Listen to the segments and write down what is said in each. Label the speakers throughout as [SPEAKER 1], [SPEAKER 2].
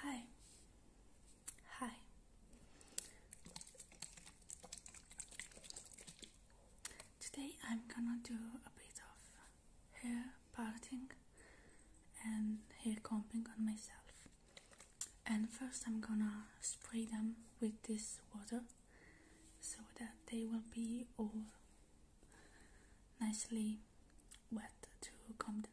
[SPEAKER 1] Hi. Hi. Today I'm gonna do a bit of hair parting and hair combing on myself. And first I'm gonna spray them with this water so that they will be all nicely wet to comb them.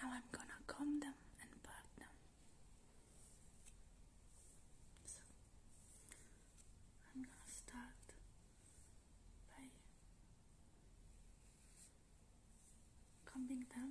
[SPEAKER 1] Now I'm going to comb them and part them. So I'm going to start by combing them.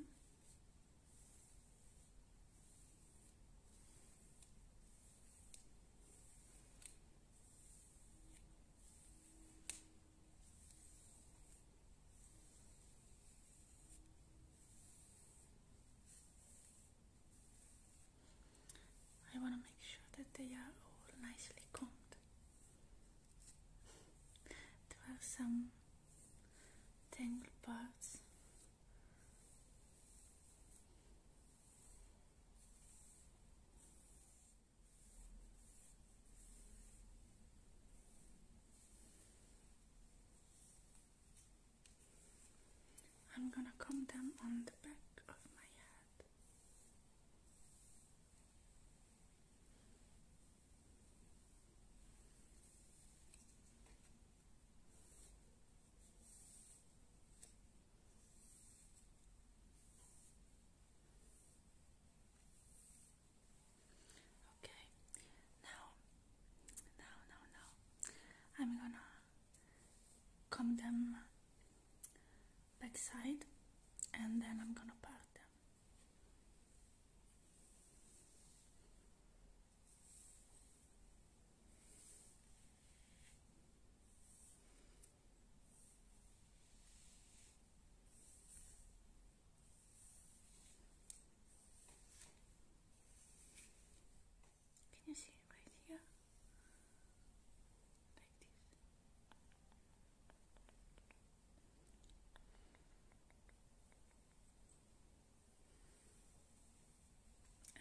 [SPEAKER 1] I want to make sure that they are all nicely combed. There are some tangled parts. I'm gonna comb them on the back of my head. Okay, now, now, now, now, I'm gonna comb them backside and then I'm gonna part them. Can you see it right here? Like this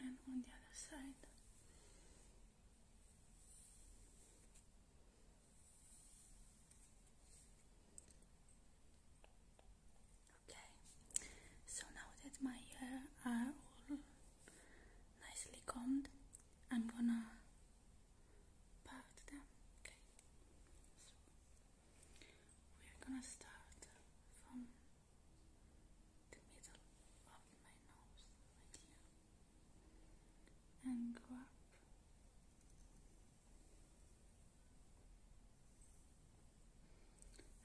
[SPEAKER 1] and on the other side. Okay, so now that my hair are all nicely combed, I'm gonna part them. Okay, we're gonna start from the middle of my nose, right here, and go up.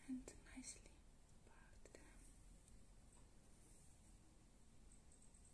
[SPEAKER 1] And nicely part them.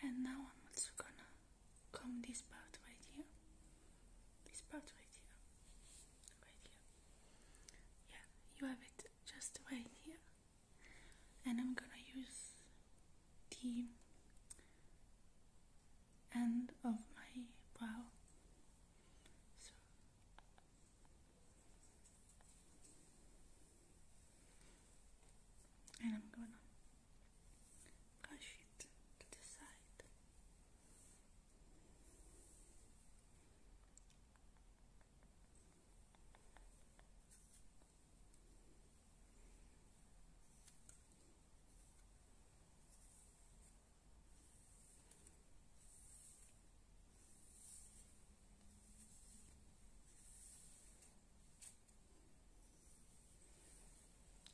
[SPEAKER 1] And now I'm also gonna comb this part right here. This part right here. Right here. Yeah, you have it just right here. And I'm gonna use the end of my brow. and I'm gonna brush it to the side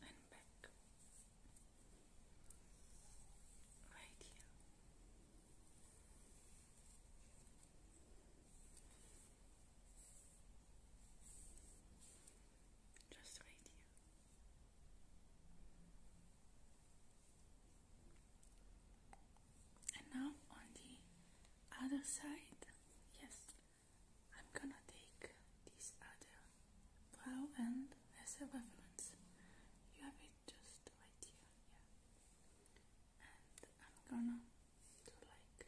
[SPEAKER 1] and back right here just wait here. And now on the other side, yes, I'm gonna take this other brow and as a reference. You have it just right here, And I'm gonna do like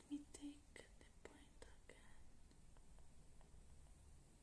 [SPEAKER 1] let me take the point again.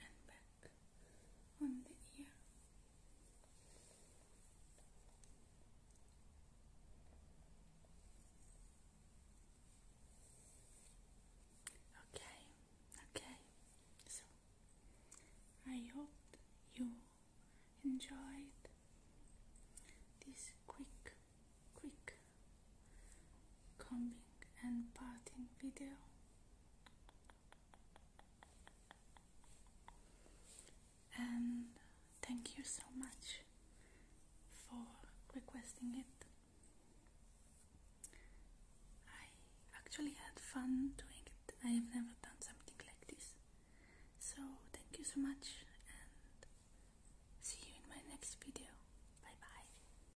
[SPEAKER 1] and back on the ear. Okay, okay. So I hope you enjoyed this quick, quick combing and parting video. And thank you so much for requesting it. I actually had fun doing it. I have never done something like this. So thank you so much and see you in my next video. Bye bye.